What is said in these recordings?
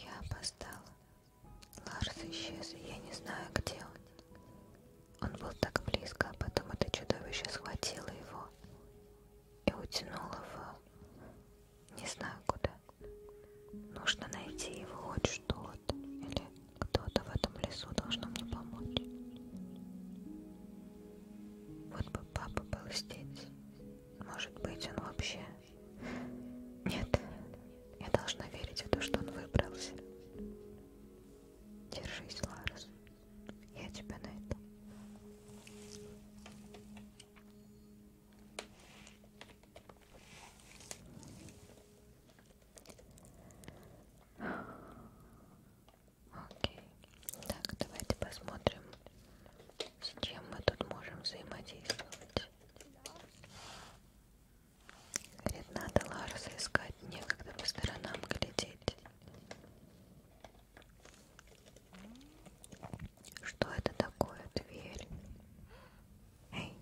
я опоздала ларс исчез я не знаю где он он был так близко а потом это чудовище схватило его и утянуло в не знаю куда нужно найти его хоть что-то или кто-то в этом лесу должно мне помочь вот бы папа был здесь может быть он вообще нет, я должна верить в то, что он выбрался. Держись, Ларес. Я тебя на это. Окей. Так, давайте посмотрим, с чем мы тут можем взаимодействовать. Говорит, надо Ларса искать, некогда по сторонам глядеть. Что это такое, дверь? Эй,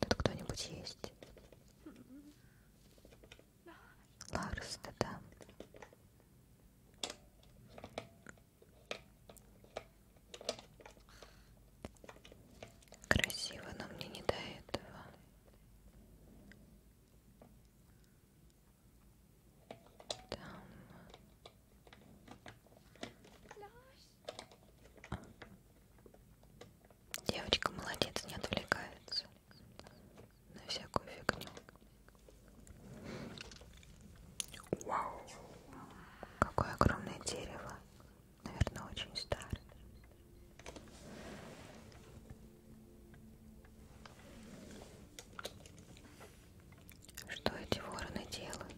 тут кто-нибудь есть? Ларс, ты там? Красиво, но мне не до этого. Там. Девочка молодец, не отвлекается на всякую фигню. Вау! Какое огромное дерево! Наверное, очень старое. Что эти вороны делают?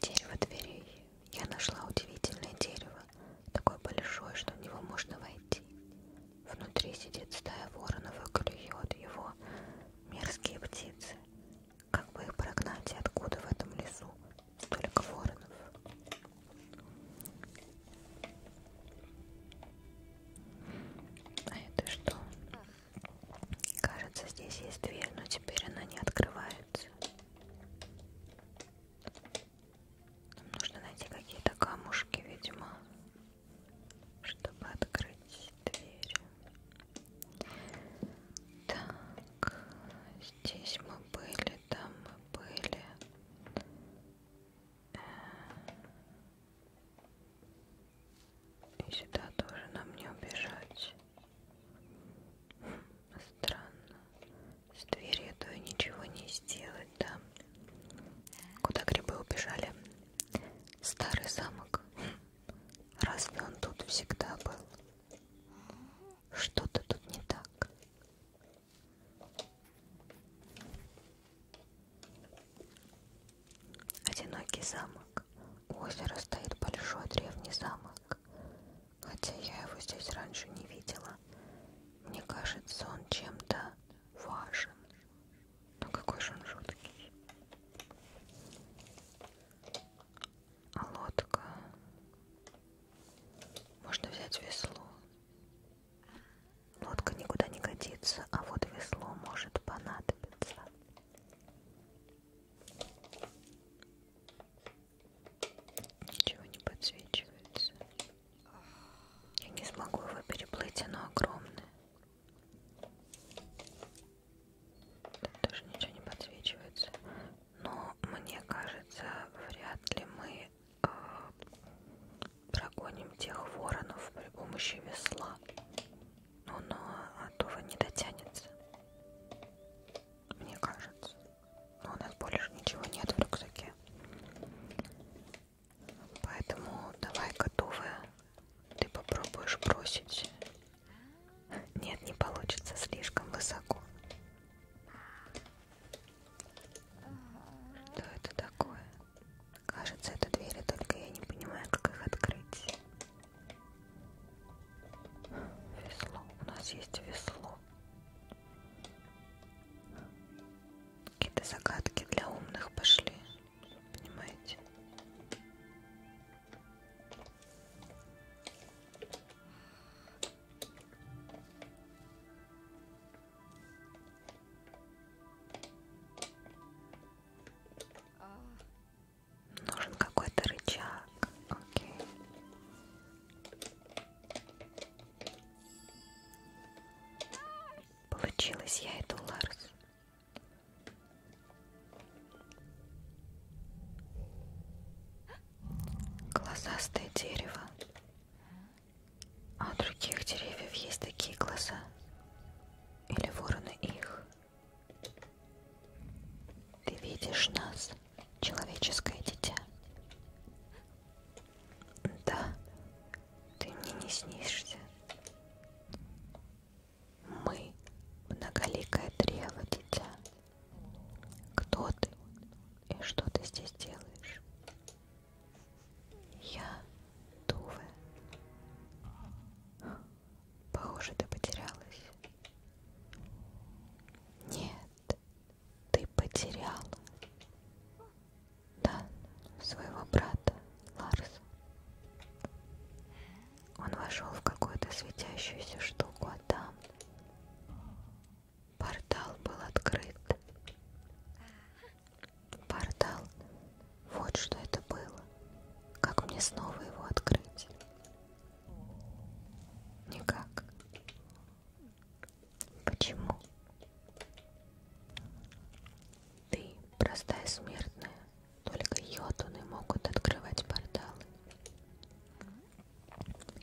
Дерево дверей. Я нашла удивительное дерево, такое большое, что в него можно войти. Внутри сидит стая воронов и клюет его мерзкие птицы. Как бы их прогнать и откуда в этом лесу столько воронов? А это что? Кажется, здесь есть дверь, но теперь она не открывается. Нам нужно найти какие-то камушки, видимо, чтобы открыть дверь. Так, здесь мы были, там мы были. Э, и сюда тоже нам не убежать. Хм, странно. С дверью то и ничего не сделать, да. Куда грибы убежали? Старый замок. Хм, разве он тут всегда был? Что-то тут не так. Одинокий замок. У озера стоит большой древний замок. Хотя я его здесь раньше не видела. Мне кажется, он чем-то важен. Но ну, какой же он жуткий лодка. Можно взять весло. Лодка никуда не годится, а вот весло может понадобиться. Ничего не подсвечивается. Я не смогу его переплыть, оно огромное. Тут даже ничего не подсвечивается. Но мне кажется, вряд ли мы э, прогоним тех воронов при помощи весла. Но, но Атова не дотянется. Мне кажется. Но у нас больше ничего нет в рюкзаке. Поэтому давай готовая. Ты попробуешь бросить нет, не получится слишком высоко. Что это такое? Кажется, это двери, только я не понимаю, как их открыть. Весло. У нас есть весло. Какие-то загадки для умных пошли. Понимаете? Нужен какой-то рычаг. Окей. Получилось, я иду, Ларс. Глазастое дерево. А у других деревьев есть такие глаза. Или вороны их. Ты видишь нас, человеческое дитя. Да, ты мне не снишься. Мы многоликое древо, дитя. Кто ты и что ты здесь делаешь? Я Туве. Похоже, ты потерялась. Нет, ты потеряла. Да, своего брата Ларса. Он вошел в какую-то светящуюся штуку, а там портал был открыт. Портал. Вот что это было. Как мне снова его открыть? Никак. Почему? Ты, простая смертная, только йотуны могут открывать порталы.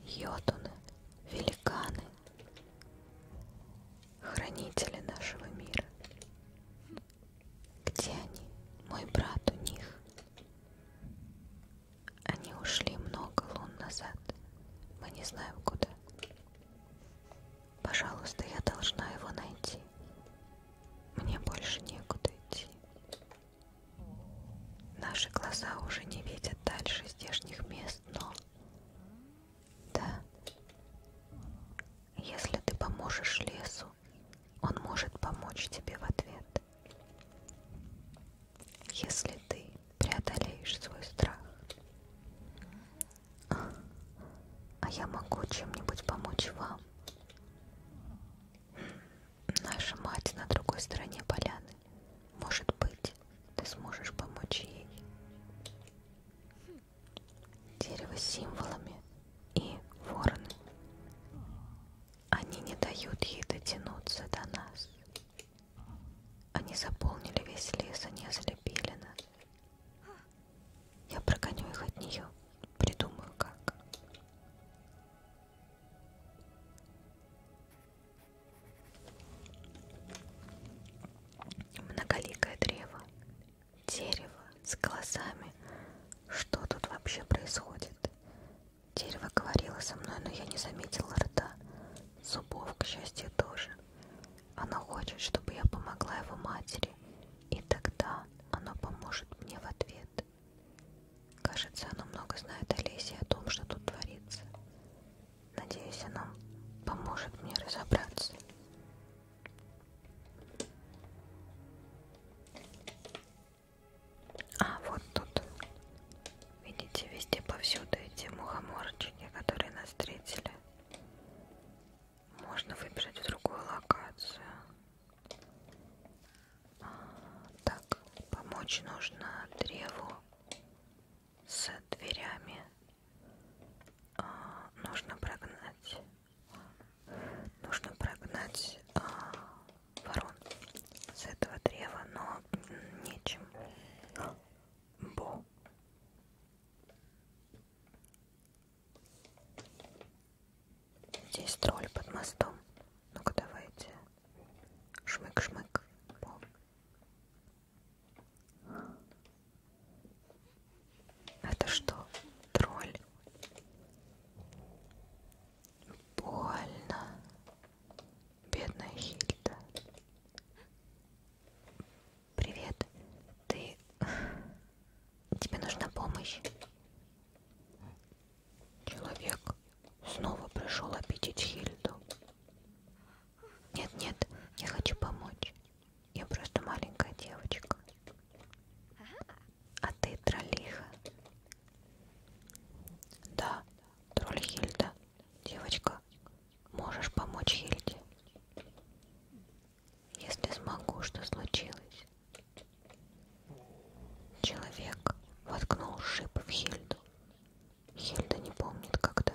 Йотуны, великаны, хранители нашего мира. Где они? Мой брат у них. Они ушли много лун назад. Мы не знаем куда. Пожалуйста, я должна его найти. Мне больше некуда идти. Наши глаза уже не видят дальше здешних мест, но... Да. Если ты поможешь лесу, он может помочь тебе в ответ. Если ты преодолеешь свой страх. А я могу чем-нибудь помочь вам. Наша мать на другой стороне поляны. Может быть, ты сможешь помочь ей. Дерево с символами и вороны. Они не дают ей дотянуться до нас. Они заполнили весь лес, они ослепили нас. Я прогоню их от нее, придумаю как. Многоликое древо, дерево с глазами. Что тут вообще происходит? Дерево говорило со мной, но я не заметила рта. Зубов, к счастью, тоже. Оно хочет, чтобы я помогла его матери, и тогда оно поможет мне в ответ. Кажется, она много знает о лесе и о том, что тут творится. Надеюсь, она поможет мне разобраться. А вот тут, видите, везде повсюду эти мухоморчики, которые нас встретили. Можно выбрать в другую локацию. Так, помочь нужно древу с дверями. А, нужно прогнать. Нужно прогнать а, ворон с этого древа, но нечем. Бо. Здесь тролль под мостом. Ну-ка давайте. Шмык-шмык. Это что? Тролль? Больно. Бедная Хильда. Привет. Ты... Тебе нужна помощь? Человек снова пришел обидеть Хильду. Нет-нет, я хочу помочь. Я просто маленькая девочка. А ты троллиха? Да, тролль Хильда. Девочка, можешь помочь Хильде? Если смогу, что случилось? Человек воткнул шип в Хильду. Хильда не помнит, когда.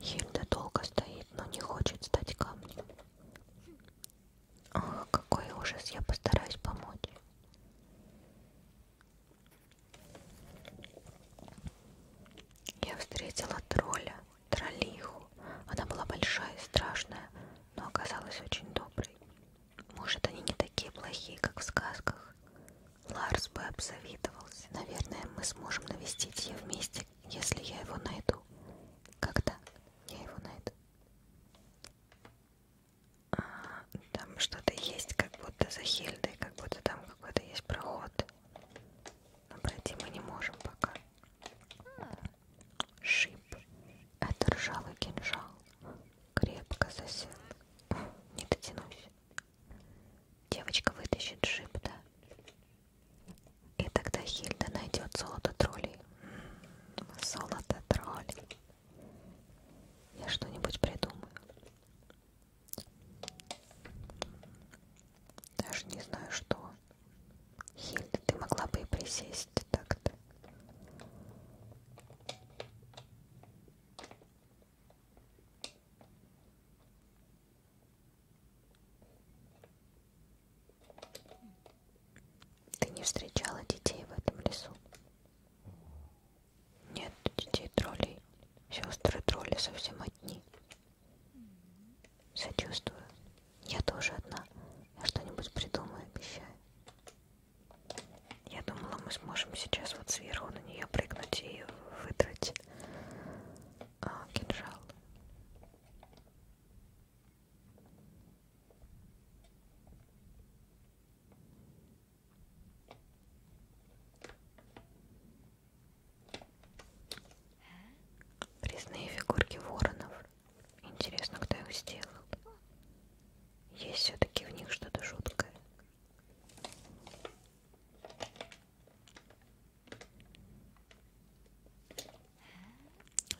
Хильда долго стоит, но не хочет стать камнем. Ах, какой ужас, я постараюсь помочь. Я встретила тролля троллиху. Она была большая и страшная, но оказалась очень доброй. Может, они не такие плохие, как в сказках? Ларс бы обзавидовался. Наверное, мы сможем навестить ее вместе, если я его найду. Когда я его найду? А, там что-то есть, как будто за Хильдой, как будто там какой-то есть проход. Но пройти мы не можем пока. Шип. Это ржавый кинжал. Крепко засел. Не дотянусь. Девочка вытащит шип, да? И тогда Хильда найдет золото троллей. М-м, золото троллей. Я что-нибудь придумаю. Даже не знаю, что. Хильда, ты могла бы и присесть так-то. Ты не встречала детей в этом лесу? Нет детей троллей. Сестры тролли совсем одни. Сочувствую. Я тоже одна. Я что-нибудь придумаю, обещаю. Я думала, мы сможем сейчас вот сверху на нее прыгнуть и выдрать а, кинжал. Резные фигурки воронов. Интересно, кто их сделал? Есть все-таки в них что-то жуткое.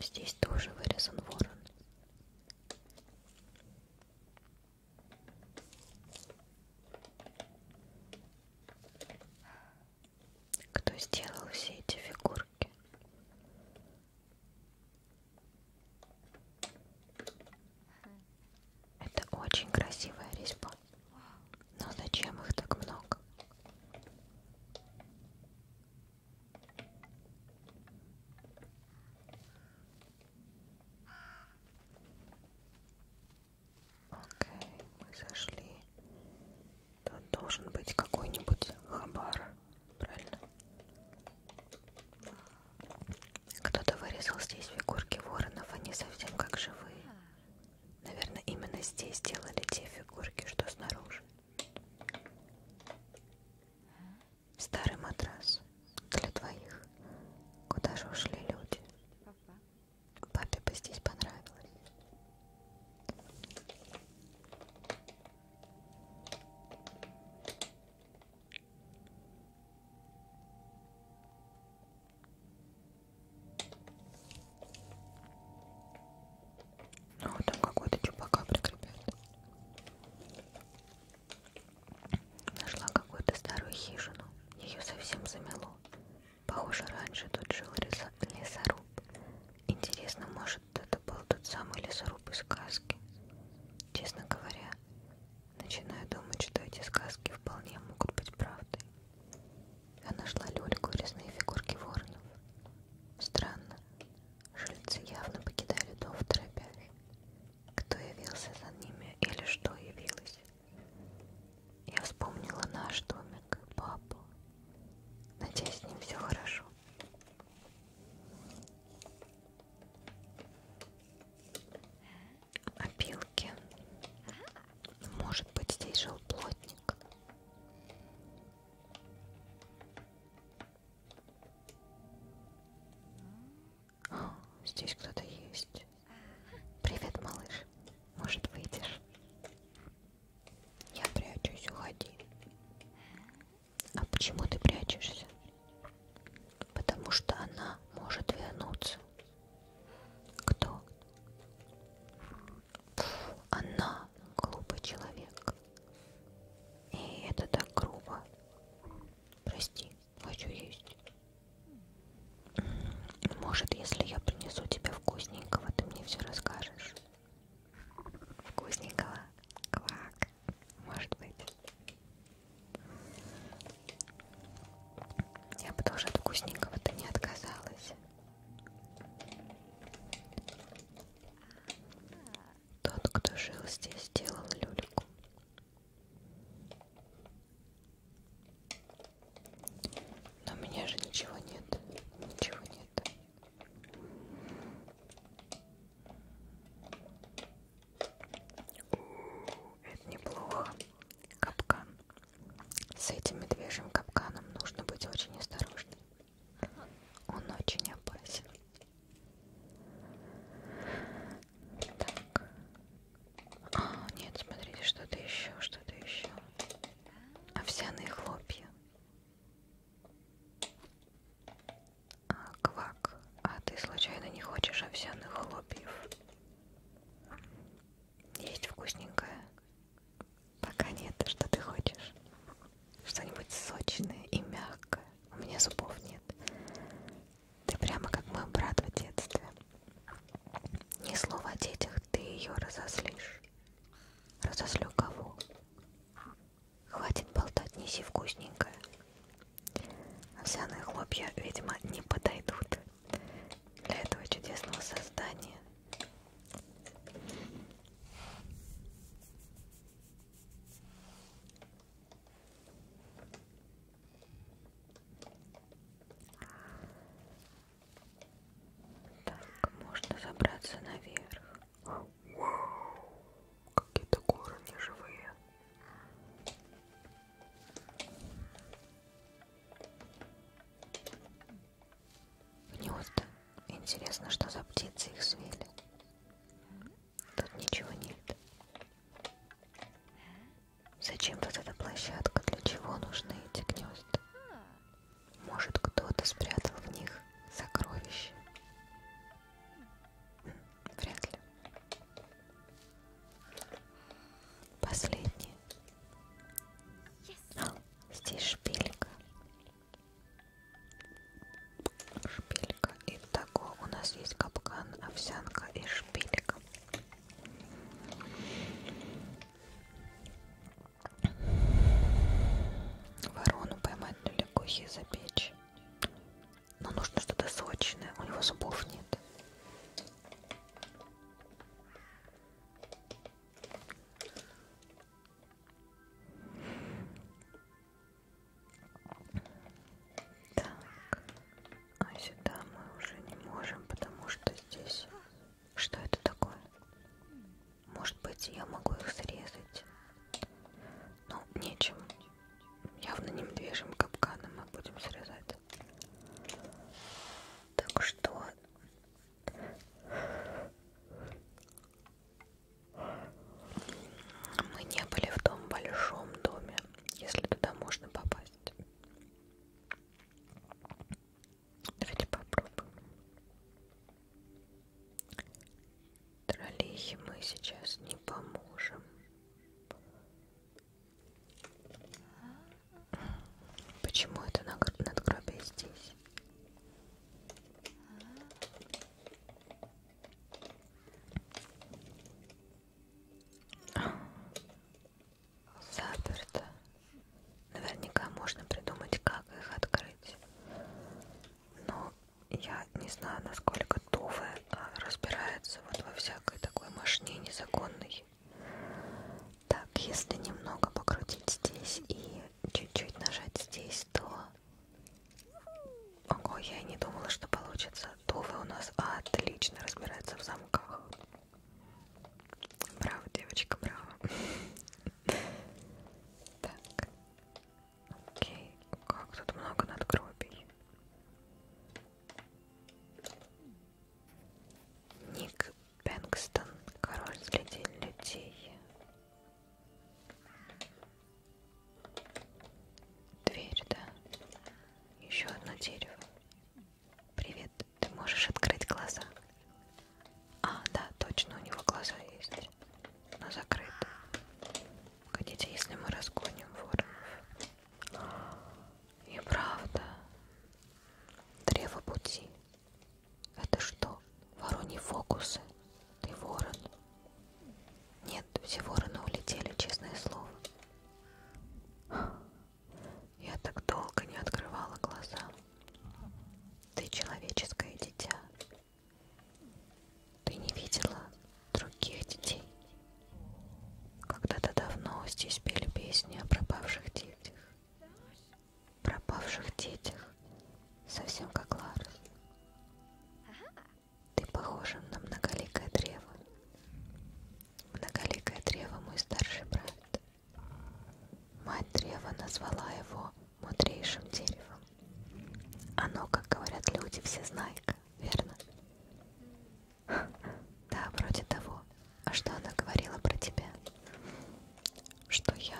Здесь тоже вырезан ворон кто сделал все эти фигурки. Это очень красивая резьба. Но зачем их так много? Окей, мы зашли Тут должен быть какой-нибудь хабар, правильно? Кто-то вырезал здесь фигурки воронов, они совсем как живые. Наверное, именно здесь делали те фигурки, что снаружи. Старый матрас для двоих. Куда же ушли люди? Папе бы здесь понравилось. Ну, вот там какой-то чупака прикрепят. Нашла какую-то старую хижину. Ее совсем замело. Похоже, раньше тут жил лесоруб. Интересно, может, это был тот самый лесоруб из сказки? Честно говоря, начинаю думать, что эти сказки вполне могут быть правдой. Я нашла люльку и резные фигурки воронов. Странно, жильцы явно покидали дом в торопях. Кто явился за ними или что явилось? Я вспомнила наш домик, папу, Надеюсь, с ним все хорошо. Опилки. А Может быть, здесь жил плотник. О, здесь кто-то есть. Привет, малыш. Может, выйдешь? Я прячусь, уходи. А почему ты прячешься? Потому что она может вернуться. Кто? Фу, она глупый человек. И это так грубо. Прости, хочу есть. Может, если я принесу тебе вкусненького, ты мне все расскажешь. Вкусненького. Квак. Может быть. Я бы тоже от вкусненького-то не отказалась. Тот, кто жил здесь, делал люльку. Но у меня же ничего нет. Ничего нет. Это неплохо. Капкан. С этим медвежьим капканом нужно быть очень осторожным. Он очень опасен. Так. А, нет, смотрите, что-то еще, что-то еще. Овсяные хлопья. А, квак, а ты случайно не хочешь овсяных хлопьев? Есть вкусненькое? Пока нет, что ты хочешь? Что-нибудь сочное и мягкое. У меня зубов нет. Ты прямо как мой брат в детстве. Ни слова о детях, ты ее разозлишь. Разозлю кого? Хватит болтать, неси вкусненькое. Овсяные хлопья, видимо, не подойдут для этого чудесного создания. Так, можно забраться наверх. Вау, какие-то горы неживые. Гнезда. Интересно, что за птицы их свели. Тут ничего нет. Зачем тут эта площадка? Для чего нужны эти гнезда? Может, кто-то спрятал в них сокровища? Вряд ли. Последнее. Yes. А, здесь шпилька. Шпилька. Итого у нас есть капкан, овсянка и шпилька. Ворону поймать нелегко и запечь. Но нужно что-то сочное, у него зубов нет. Так, а сюда мы уже не можем, потому что здесь что это такое? Может быть, я могу их срезать? Ну, нечем. Явно не медвежьим капканом мы будем срезать. Так что... Мы не были в том большом доме, если туда можно попасть. Давайте попробуем. Троллихе мы сейчас не поможем. Почему это надгробие здесь? Заперто. Наверняка можно придумать, как их открыть. Но я не знаю, насколько Тувы а, разбирается вот во всякой такой машине незаконной. Так, если немного покрутить здесь и чуть-чуть нажать здесь, то... Ого, я и не думала, что получится. Тувы у нас отлично разбирается в замках. Браво, девочка, браво. Так. Окей. Как тут много надгробий. Ник Бэнкстон, король среди людей. Дверь, да? Еще одно дерево. Привет, ты можешь открыть глаза? А, да, точно, у него глаза есть, но закрыты. Хотите, если мы разгоним воронов? И правда. Древо пути. Это что? Вороний фокусы? Ты ворон? Нет, все вороны улетели, честное слово. Я так долго не открывала глаза. Ты человеческое дитя. Ты не видела других детей. Когда-то давно здесь пели песни о пропавших детях. Пропавших детях, совсем как Ларс. Ты похожа на многоликое древо. Многоликое древо мой старший брат. Мать древа назвала его мудрейшим деревом. Оно, как говорят люди, всезнайка, верно? Да, вроде того. А что она говорила про тебя? Что я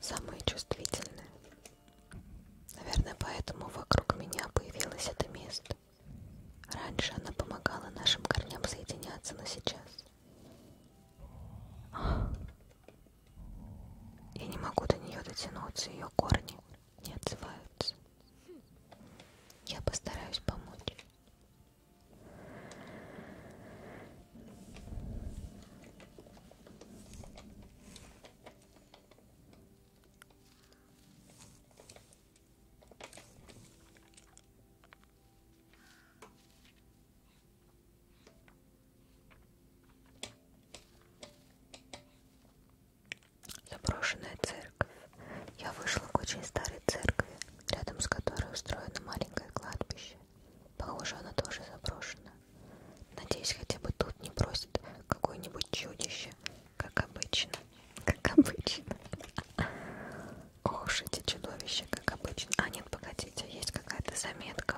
самая чувствительная. Наверное, поэтому вокруг меня появилось это место. Раньше она помогала нашим корням соединяться, но сейчас... Я не могу до нее дотянуться, ее корни не отзываются. Я постараюсь помочь. Заброшенная церковь. Я вышла к очень старой церкви, рядом с которой устроено маленькое кладбище. Похоже, она тоже заброшена. Надеюсь, хотя бы тут не бросит какое-нибудь чудище, как обычно. Как обычно. Ох уж эти чудовища, как обычно. А нет, погодите, есть какая-то заметка.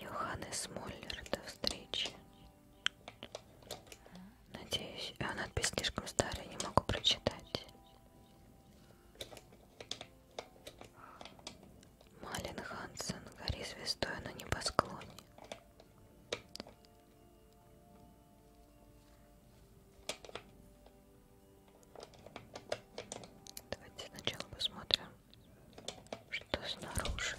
Йоханнес Муллер, до встречи. Надеюсь, а надпись слишком старая, не могу прочитать. Малин Хансен, гори звездой на небосклоне. Давайте сначала посмотрим, что снаружи.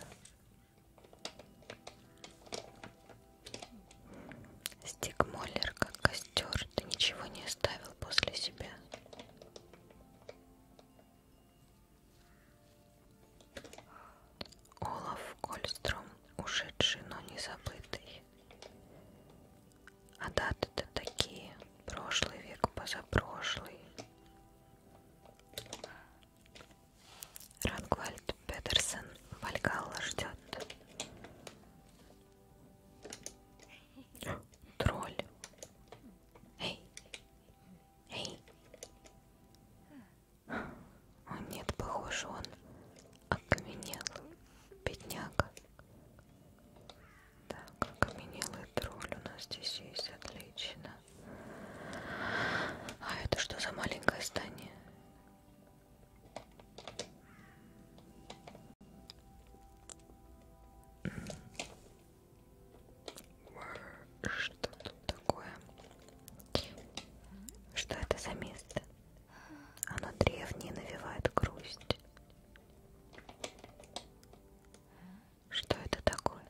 Стик Моллер, как костер, ты ничего не оставил после себя. Олаф Кольстром, ушедший, но не забытый. А даты-то такие. Прошлый век, позапрошлый. Рангвальд Петерсон Вальгалла ждет. Тролль. Эй. Эй. О, нет, похоже, он окаменел. Бедняга. Так, окаменелый тролль у нас здесь есть, отлично. А это что за маленькое здание? Что тут такое? Что это за место? Оно древнее навевает грусть. Что это такое?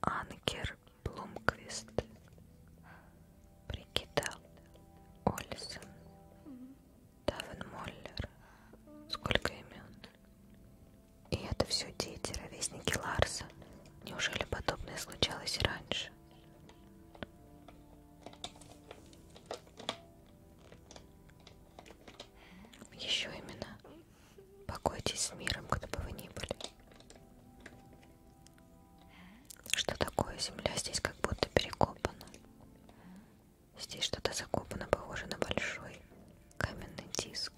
Анкер Блумквист, Бригита Ольсен, Давен Моллер. Сколько имен? И это все дети, ровесники Ларса. Неужели подобное случалось раньше? Еще именно. Покойтесь с миром, кто бы вы ни были. Что такое земля? Здесь как будто перекопана. Здесь что-то закопано, похоже на большой каменный диск.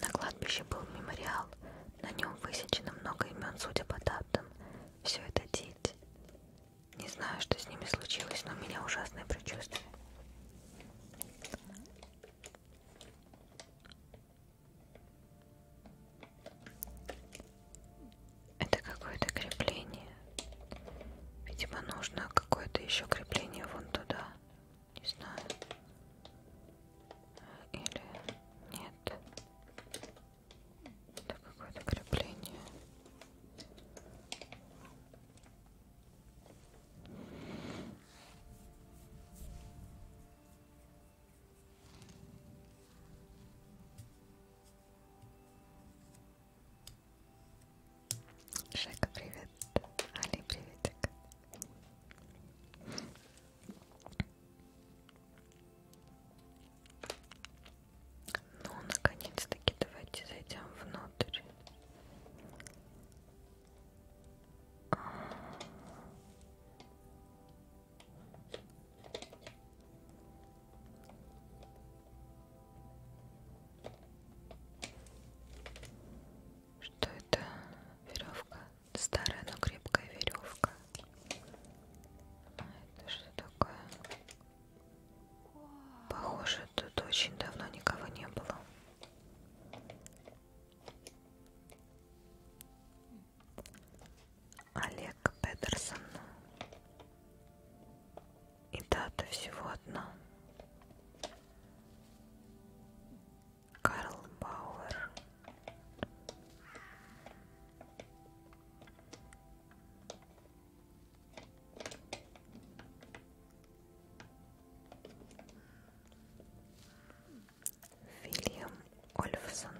На кладбище был мемориал на нем высечено много имен, судя по датам. Все это дети. Не знаю, что с ними случилось, но у меня ужасное предчувствие. Это какое-то крепление. Видимо, нужно какое-то еще крепление вон туда. Не знаю или нет это какое-то крепление Шека, привет. Али, приветик. Ну, наконец-таки давайте зайдем внутрь. Что это веревка? Старая, но крепкая веревка. А это что такое? Похоже, тут очень давно никого не было. Олег Петерсон. И дата всего одна. Карл Бауэр. Вильям Ольфсон.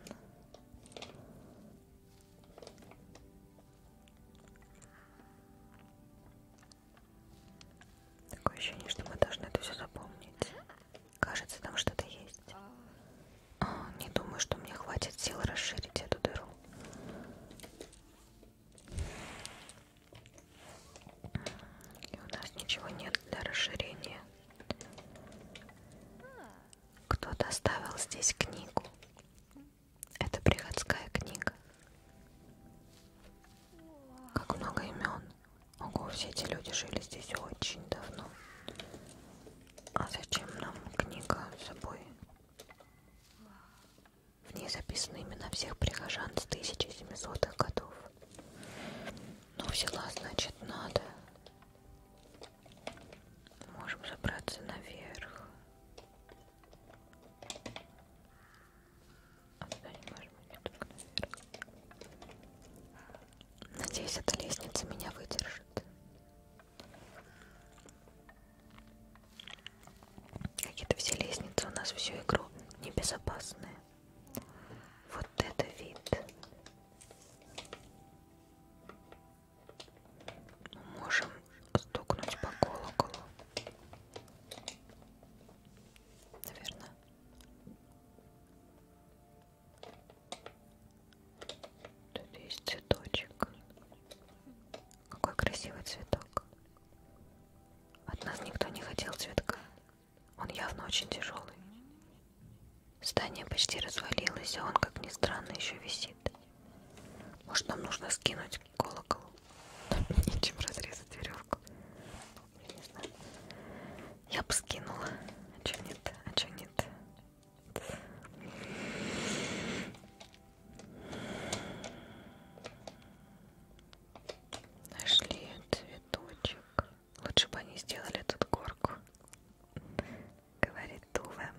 Такое ощущение, что мы должны это все запомнить. Кажется, там что-то есть. А, не думаю, что мне хватит сил расширить эту дыру. И у нас ничего нет для расширения. Кто-то оставил здесь книгу. Это приходская книга. Как много имен. Ого, все эти люди жили здесь очень давно. А зачем нам книга с собой? В ней записаны имена всех прихожан с 1700-х годов. Но ну, взяла, значит, надо. Можем забраться наверх. А туда не можем идти, только наверх. Надеюсь, эта лестница меня выдержит. Какие-то все лестницы у нас всю игру небезопасные. Вот это вид. Мы можем стукнуть по колоколу. Наверное. Тут есть цветочек. Какой красивый цветок. От нас никто не хотел цветка. Он явно очень тяжелый. Здание почти развалилось, а он, как ни странно, еще висит. Может, нам нужно скинуть колокол? Нечем разрезать веревку я не знаю. Я бы скинула. А чё нет? А чё нет? Нашли цветочек. Лучше бы они сделали тут горку. Говорит Тува.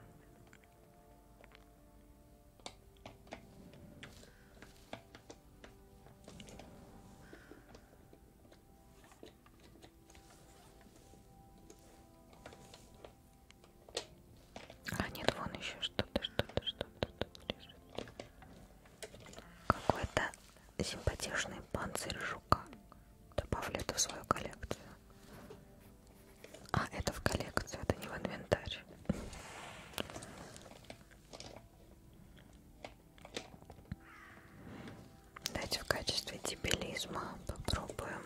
А нет, вон еще что-то, что-то, что-то тут лежит. Какой-то симпатичный панцирь жука. Добавлю это в свою коллекцию. А, это в коллекцию, это не в инвентарь. Давайте в качестве дебилизма попробуем.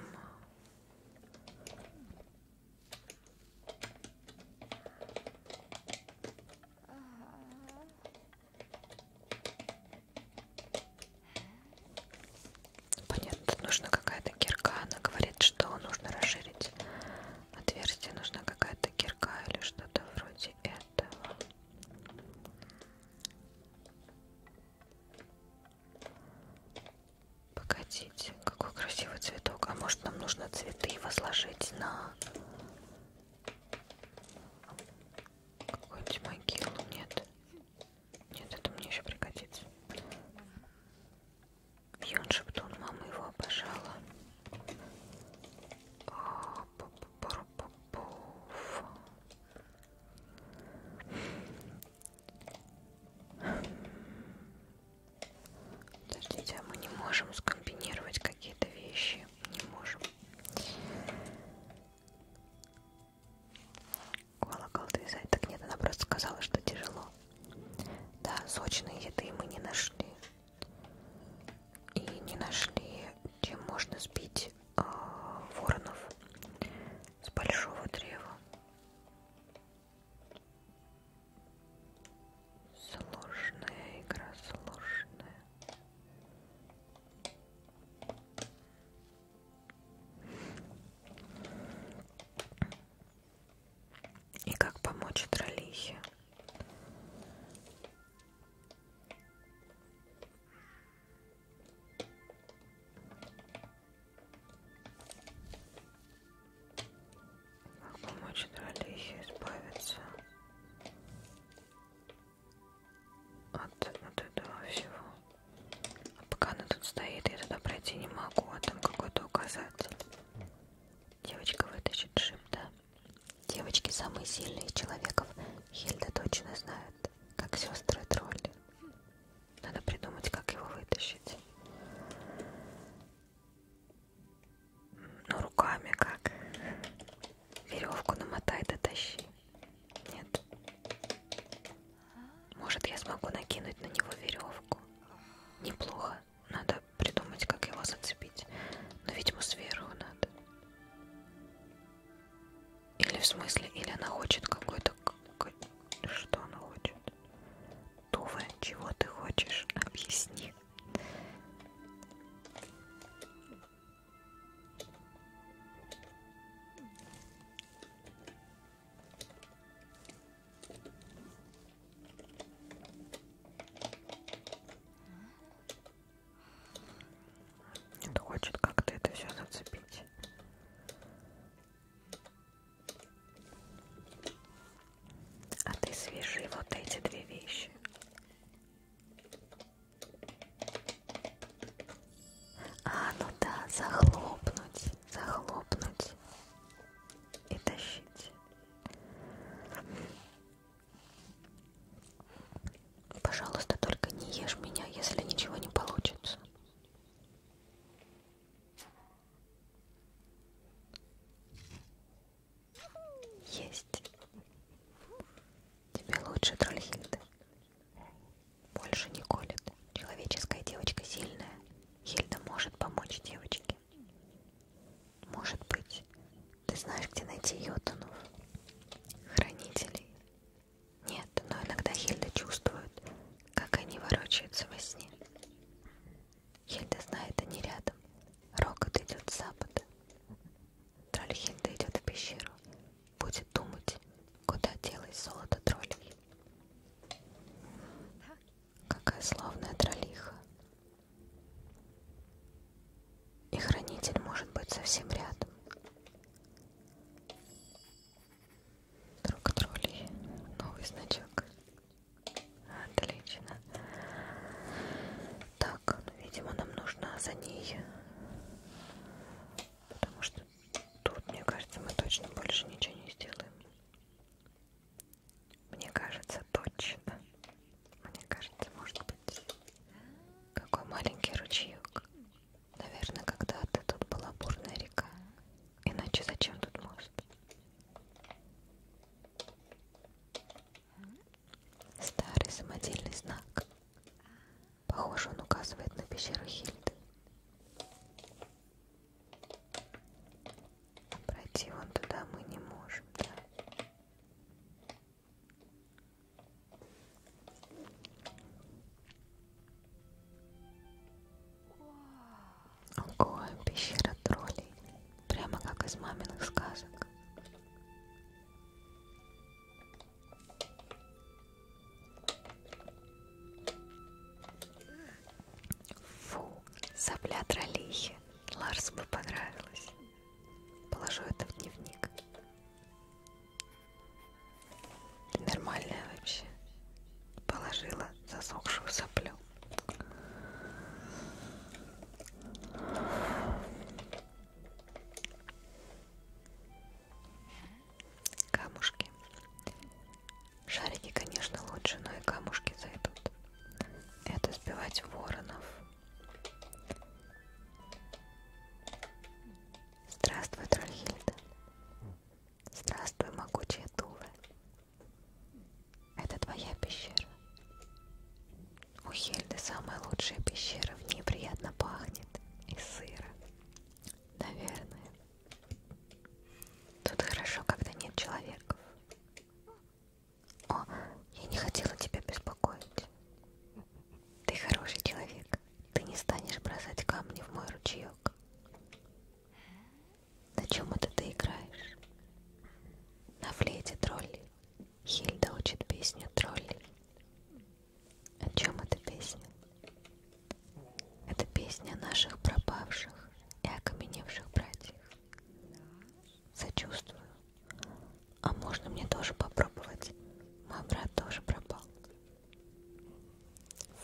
Понятно, тут нужна какая-то кирка. Она говорит, что нужно расширить отверстие. Нужна какая-то кирка или что-то вроде этого. Погодите, какой красивый цветок. А может нам нужно цветы возложить на какую-нибудь могилу? Нет. Нет, это мне еще пригодится. Бьон Шептун, мама его обожала. О, Подождите, а мы не можем скомбинировать какие-то вещи. Не можем. Колокол вязать. Так нет, она просто сказала, что тяжело. Да, сочные еды мы не нашли. И не нашли, чем можно сбить э, воронов с большого древа. Сложная игра, сложная. И как помочь троллихе? Как помочь Дралихе избавиться от, от этого всего? А пока она тут стоит, я туда пройти не могу, а там какой-то указатель. Девочка вытащит шип, да? Девочки самые сильные из человеков. Хильда точно знает выглядит, как сестры тролли. Надо придумать, как его вытащить. Ну, руками как? Веревку намотай, дотащи. Нет. Может, я смогу накинуть на него веревку. Неплохо. Надо придумать, как его зацепить. Но, видимо, сверху надо. Или в смысле, или она хочет какой-то... Что она хочет? Тува, чего ты хочешь? Объясни. Он хочет как-то это все зацепить. А ты свяжи вот эти две вещи. А, ну да, захлопнуть, захлопнуть и тащить. Пожалуйста, только не ешь меня, если ничего не получится. Есть. Тебе лучше, Трольхильда. Больше не колет. Человеческая девочка сильная. Хильда может помочь девочке. Может быть. Ты знаешь, где найти йотунов? Хранителей. Нет, но иногда Хельда чувствует, как они ворочаются во сне. Хельда знает, они рядом. Рокот идет с запада. Тролль Хельда идет в пещеру. Будет думать, куда делось золото троллей. Какая славная троллиха. И хранитель может быть совсем рядом. Друг троллей. Новый значок. Отлично. Так, ну, видимо, нам нужно за ней. Потому что тут, мне кажется, мы точно больше ничего не сделаем. Мне кажется, точно. Мне кажется, может быть. Какой маленький ручеек. Наверное, когда-то тут была бурная река. Иначе зачем тут мост? Старый самодельный знак. Похоже, он указывает на пещеру Хильды. А пройти вон туда мы не можем, да? Ого, пещера троллей. Прямо как из маминых сказок. Фу, сопля троллихи. Ларсу бы понравилось. Положу это в дневник. Нормальная вообще. Положила засохшую соплю. Камушки. Шарики, конечно, лучше, но и камушки зайдут. Это сбивать воронов. Здравствуй, Трольхильда. Здравствуй, могучая Тува. Это твоя пещера. У Хельды самая лучшая пещера. В ней приятно пахнет и сыро. Наверное. Тут хорошо, когда нет человеков. О, я не хотела тебя беспокоить мысль. Ты хороший человек. Ты не станешь бросать камни в мой ручеек. На чем это ты играешь? На флейте тролли. Хильда учит песню тролли. О чем эта песня? Это песня о наших пропавших и окаменевших братьях. Сочувствую, а можно мне тоже попробовать? Мой брат тоже пропал.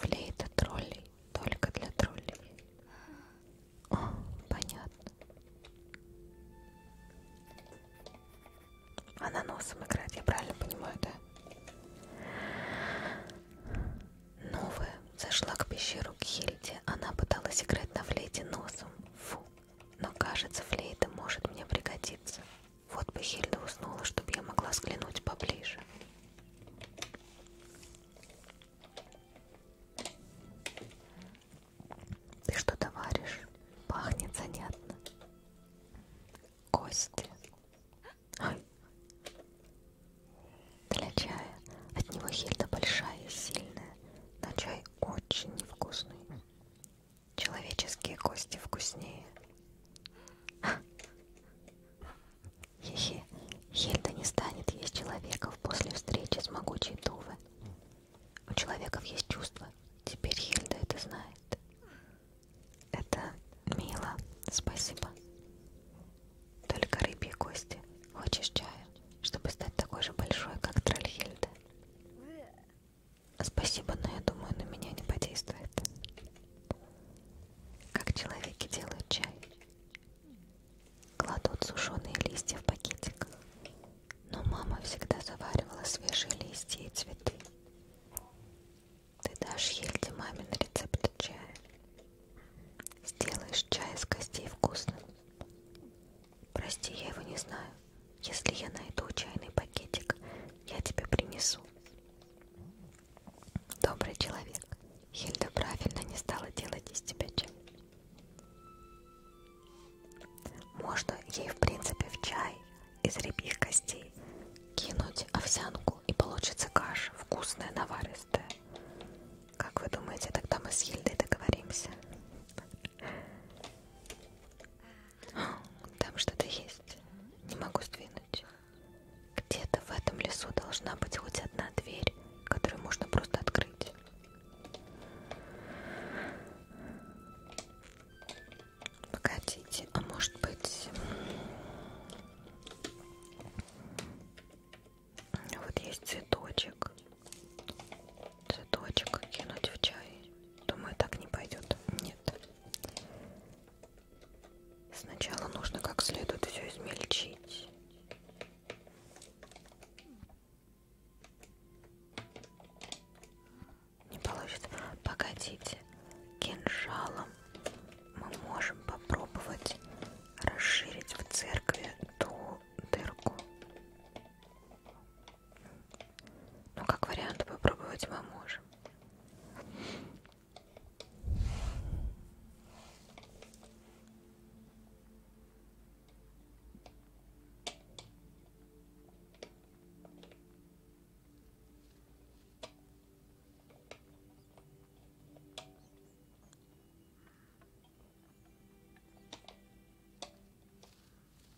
Флейта троллей, только для троллей. О, понятно. Она носом играет, я правильно понимаю, да? Новая зашла к пещеру к Хильде. Она пыталась играть на флейте носом. Фу. Но кажется, флейта может мне пригодиться. Вот бы Хильда уснула, чтобы я могла взглянуть поближе. Ты что-то варишь? Пахнет занятно. Кости. Ой. Для чая. От него Хильда большая и сильная, но чай очень невкусный. Человеческие кости вкуснее. Хе-хе, Хельда не станет есть человеков после встречи с могучей Тувы. У человеков есть чувства. Теперь Хельда это знает. Это мило. Спасибо. Только рыбьи кости. Хочешь чаю, чтобы стать такой же большой, как Тральхельда? Спасибо, но я думаю, на меня не подействует. Как человеки делают чай? Кладут сушеные листья в пакетик. Но мама всегда заваривала свежие листья и цветы. Ты дашь Ельде мамин рецепт чая. Сделаешь чай из костей вкусным. Прости, я его не знаю. Если я найду чайный пакетик, я тебе принесу. Добрый человек. Хильда правильно не стала делать из тебя чай. Можно ей, в принципе, в чай из рябьих костей кинуть овсянку, и получится каша, вкусная, наваристая. Как вы думаете, тогда мы с Хильдой договоримся? Там что-то есть. Не могу сдвинуть. Где-то в этом лесу должна быть хоть одна дверь, которую можно просто открыть. Погодите, а может быть... Вот есть цветочек цветочек кинуть в чай. Думаю, так не пойдет. Нет. Сначала нужно как следует все измельчить. Не получится. Погодите. Кинжалом мы можем попробовать расширить в церкви ту дырку. Ну, как вариант, попробовать мы можем.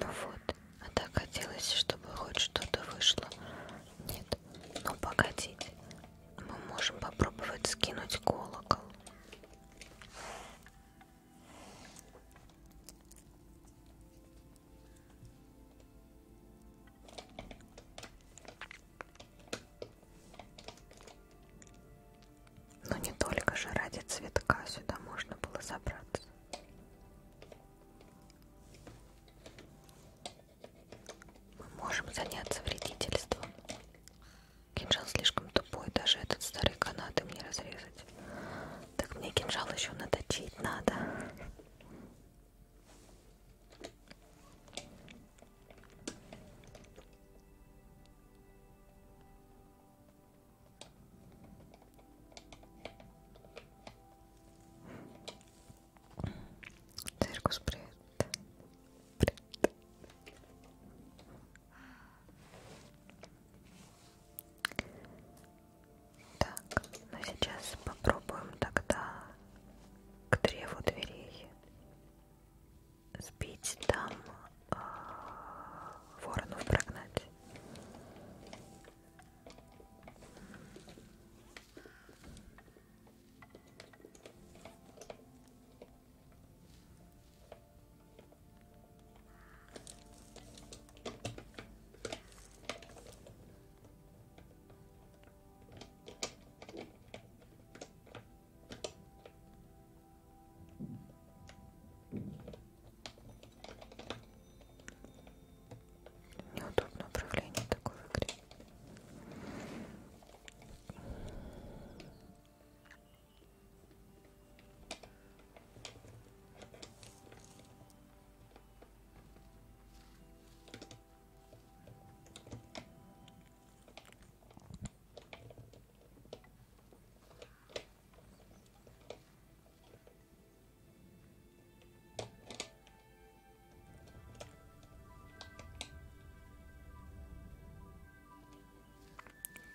Ну вот, а так хотелось, чтобы хоть что-то вышло. Нет, ну погодите, мы можем попробовать скинуть колокол. Но не только же ради цветка сюда можно было забраться. Мы можем заняться вредительством. Кинжал слишком тупой, даже этот старый канат им не разрезать. Так мне кинжал еще наточить надо. Циркус, привет. привет. Так, ну сейчас попробуем тогда к древу дверей сбить там э, воронов прогнать. Неудобное управление такой в игре.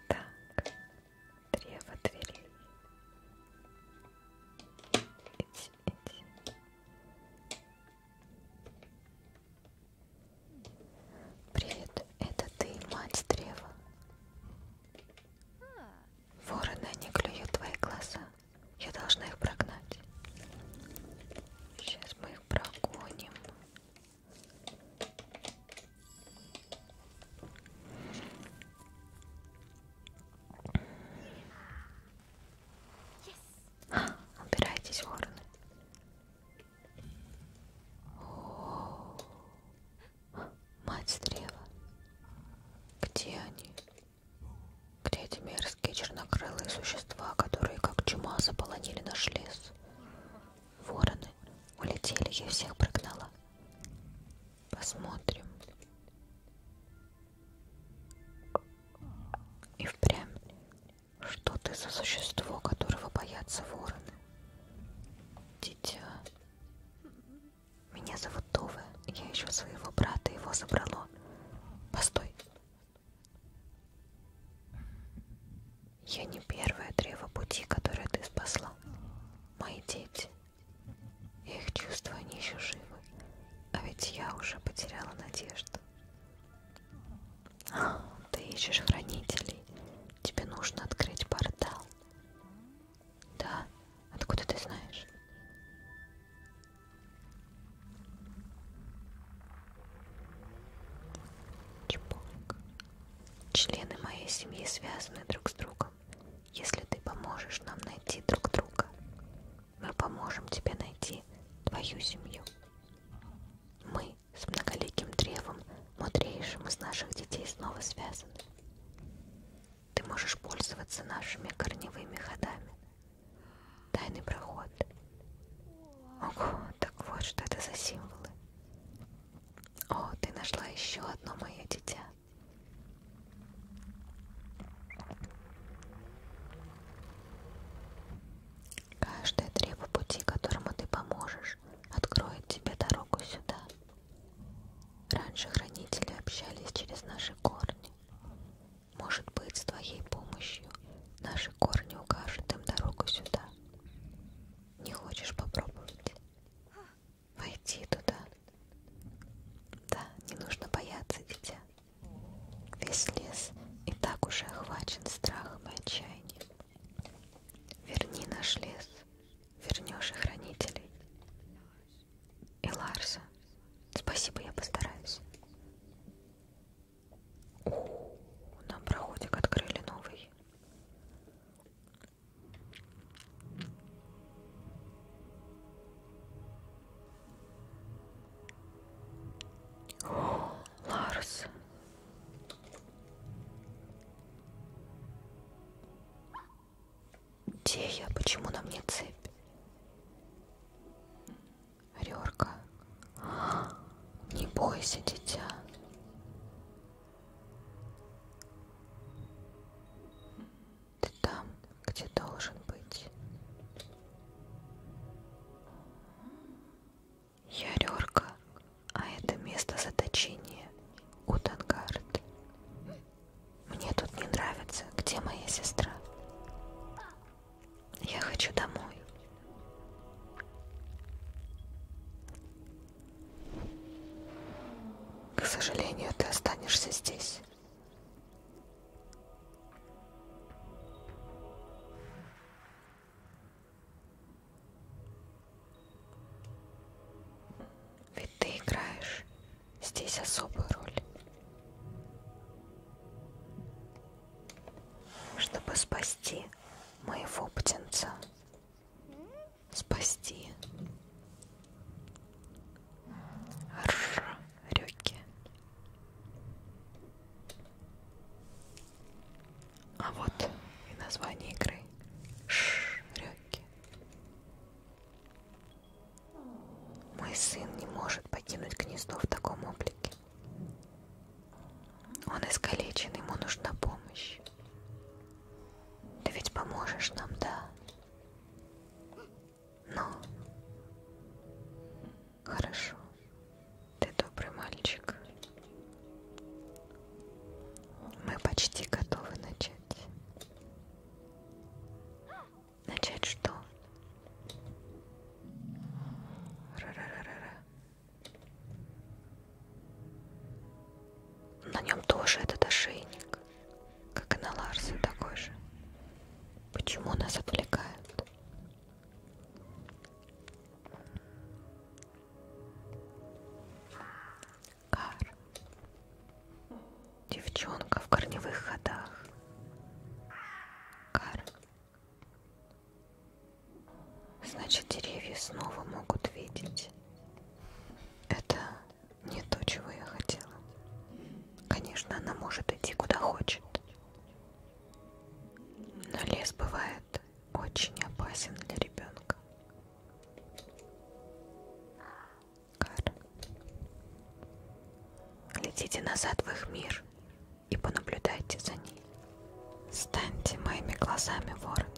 Так, древо дверей. Иди, иди. Привет, это ты, мать древа. Вороны не клюют твои глаза. Я должна их прогнать. Сейчас мы их прогоним. Yes. А, убирайтесь, вороны. Мать древа. Где они? Где эти мерзкие чернокрылые существа, которые как чума заполонили наш лес? Вороны улетели, я всех прогнала. Посмотрим. И впрямь что ты за существо, которого боятся вороны? Дитя. Меня зовут Това. Я ищу своего брата, его забрало. Постой. Я не первое древо пути, которое ты спасла. Мои дети. Я их чувствую, они еще живы. А ведь я уже потеряла надежду. Ты ищешь хранителей. Тебе нужно открыть портал. Да? Откуда ты знаешь? Чепок. Члены моей семьи связаны друг с другом. Если ты поможешь нам найти друг друга, мы поможем тебе найти твою семью. Мы с многоликим древом, мудрейшим из наших детей, снова связаны. Ты можешь пользоваться нашими корневыми ходами. Тайный проход. Ого, так вот, что это за символы. О, ты нашла еще одно мое дитя. Каждое древо пути, которому ты поможешь, откроет тебе дорогу сюда. Раньше хранители общались через наши корни. Может быть, с твоей помощью наши корни укажут им дорогу сюда. Не хочешь попробовать? Войти туда. Да, не нужно бояться, дитя. Весь лес и так уже охвачен страхом и отчаянием. Верни наш лес, вернешь и хранителей. И Ларса, спасибо, я постараюсь. У, -у, -у нам проходик открыли новый. О, Ларс, где я? Почему на мне цепь? Рерка. Не бойся, дитя. Ты там, где должен быть. Ярерка, а это место заточения Утангард. Мне тут не нравится. Где моя сестра? Я хочу домой. К сожалению, ты останешься здесь. Ведь ты играешь здесь особую роль. Чтобы спасти моего птенца. Спасти. Ржа, рюки. А вот и название игры. Шрёки. Мой сын не может покинуть гнездо в таком облике. Он искалечен, ему нужна помощь. Ты ведь поможешь нам, да? Но... Хорошо. Ты добрый мальчик. Мы почти готовы начать. Начать что? Ра -ра -ра -ра -ра. На нем тоже этот ошейник, как и на Ларсе такой же. Почему нас отвлекают? Кар. Девчонка в корневых ходах. Кар. Значит, деревья снова могут видеть. Это не то, чего я хотела. Конечно, она может идти куда хочет. Но лес бывает интернет очень опасен для ребенка. Кар. Летите назад в их мир и понаблюдайте за ней. Станьте моими глазами, ворон.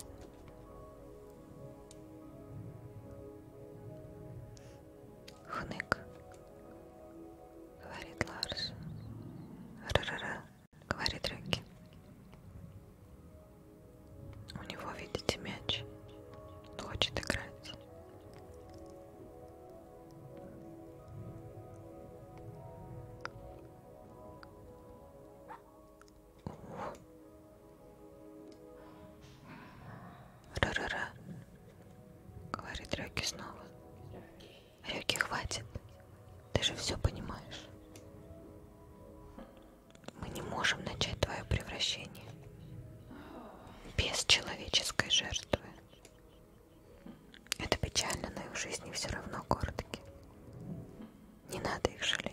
Хнык, говорит Ларс. Ра-ра-ра, говорит Рюки. У него, видите, мяч. Он хочет играть. Ра-ра-ра, говорит Рюки снова. Рюки. Рюки, хватит. Ты же все понимаешь. Мы не можем начать твое превращение без человеческой жертвы. Это печально, но их жизни все равно коротки. Не надо их жалеть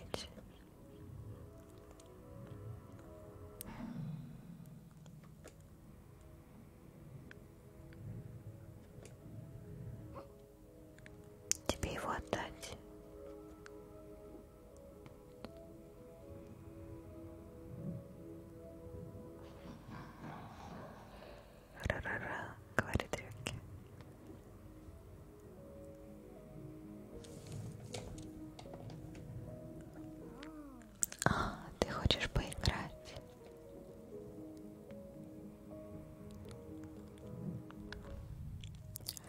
тебе его отдать. Ра-ра-ра, говорит Рюкки. А, ты хочешь поиграть?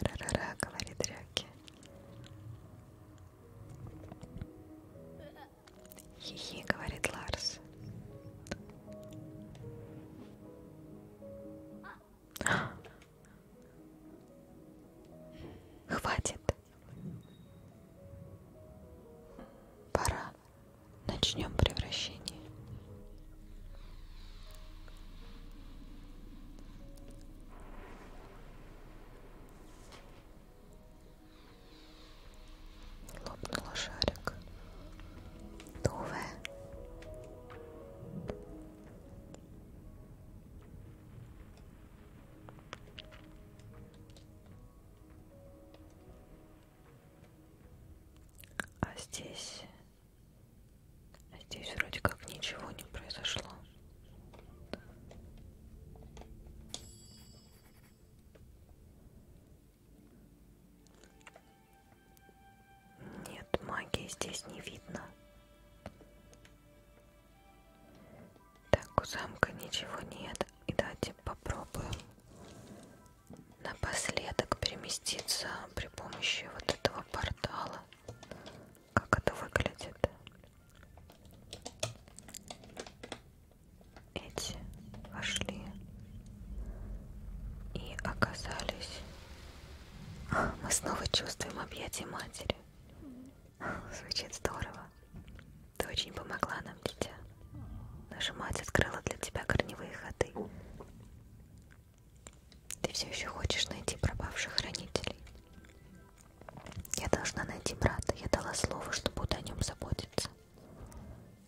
Ра-ра-ра, говорит Рёки. Хи-хи, говорит Ларс. Хватит. Пора начнем превращение. Лопнула шарик. Новая. А здесь а здесь вроде как ничего не произошло. Нет, магии здесь не видно. Так, у замка ничего нет. И давайте попробуем напоследок переместиться при помощи вот этого портала. Как это выглядит? Эти вошли и оказались. Мы снова чувствуем объятия матери. Звучит здорово. Ты очень помогла нам, дитя. Наша мать открыла для тебя корневые ходы. Ты все еще хочешь найти пропавших хранителей? Я должна найти брата. Я дала слово, что буду о нем заботиться.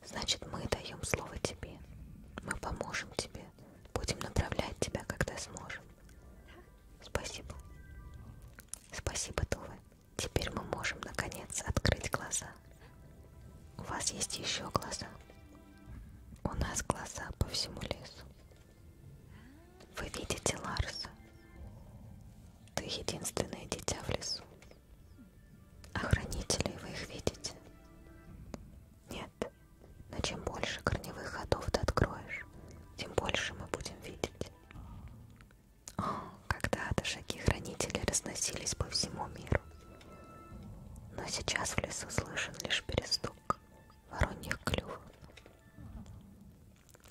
Значит, мы даем слово тебе. Мы поможем тебе. Будем направлять тебя, когда сможем. Спасибо. Спасибо, Тува. Теперь мы можем, наконец, открыть глаза глаза. У вас есть еще глаза. У нас глаза по всему лесу. Вы видите Ларса. Ты единственное дитя в лесу. Охранителей а вы их видите? Нет. Но чем больше корневых ходов ты откроешь, тем больше мы будем видеть. О, когда-то шаги хранителей разносились по всему миру. Но сейчас в лесу слышен лишь перестук вороньих клювов.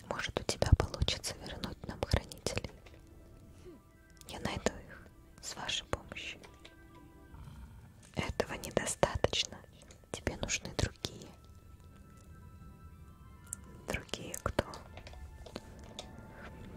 Может, у тебя получится вернуть нам хранителей. Я найду их с вашей помощью. Этого недостаточно. Тебе нужны другие. Другие кто?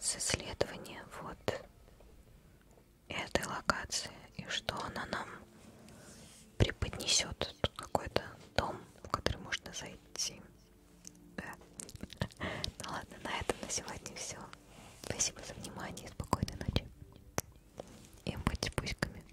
с исследования вот этой локации и что она нам преподнесет какой-то дом, в который можно зайти. Да. Ну ладно, на этом на сегодня все. Спасибо за внимание, спокойной ночи. И будьте пуськами.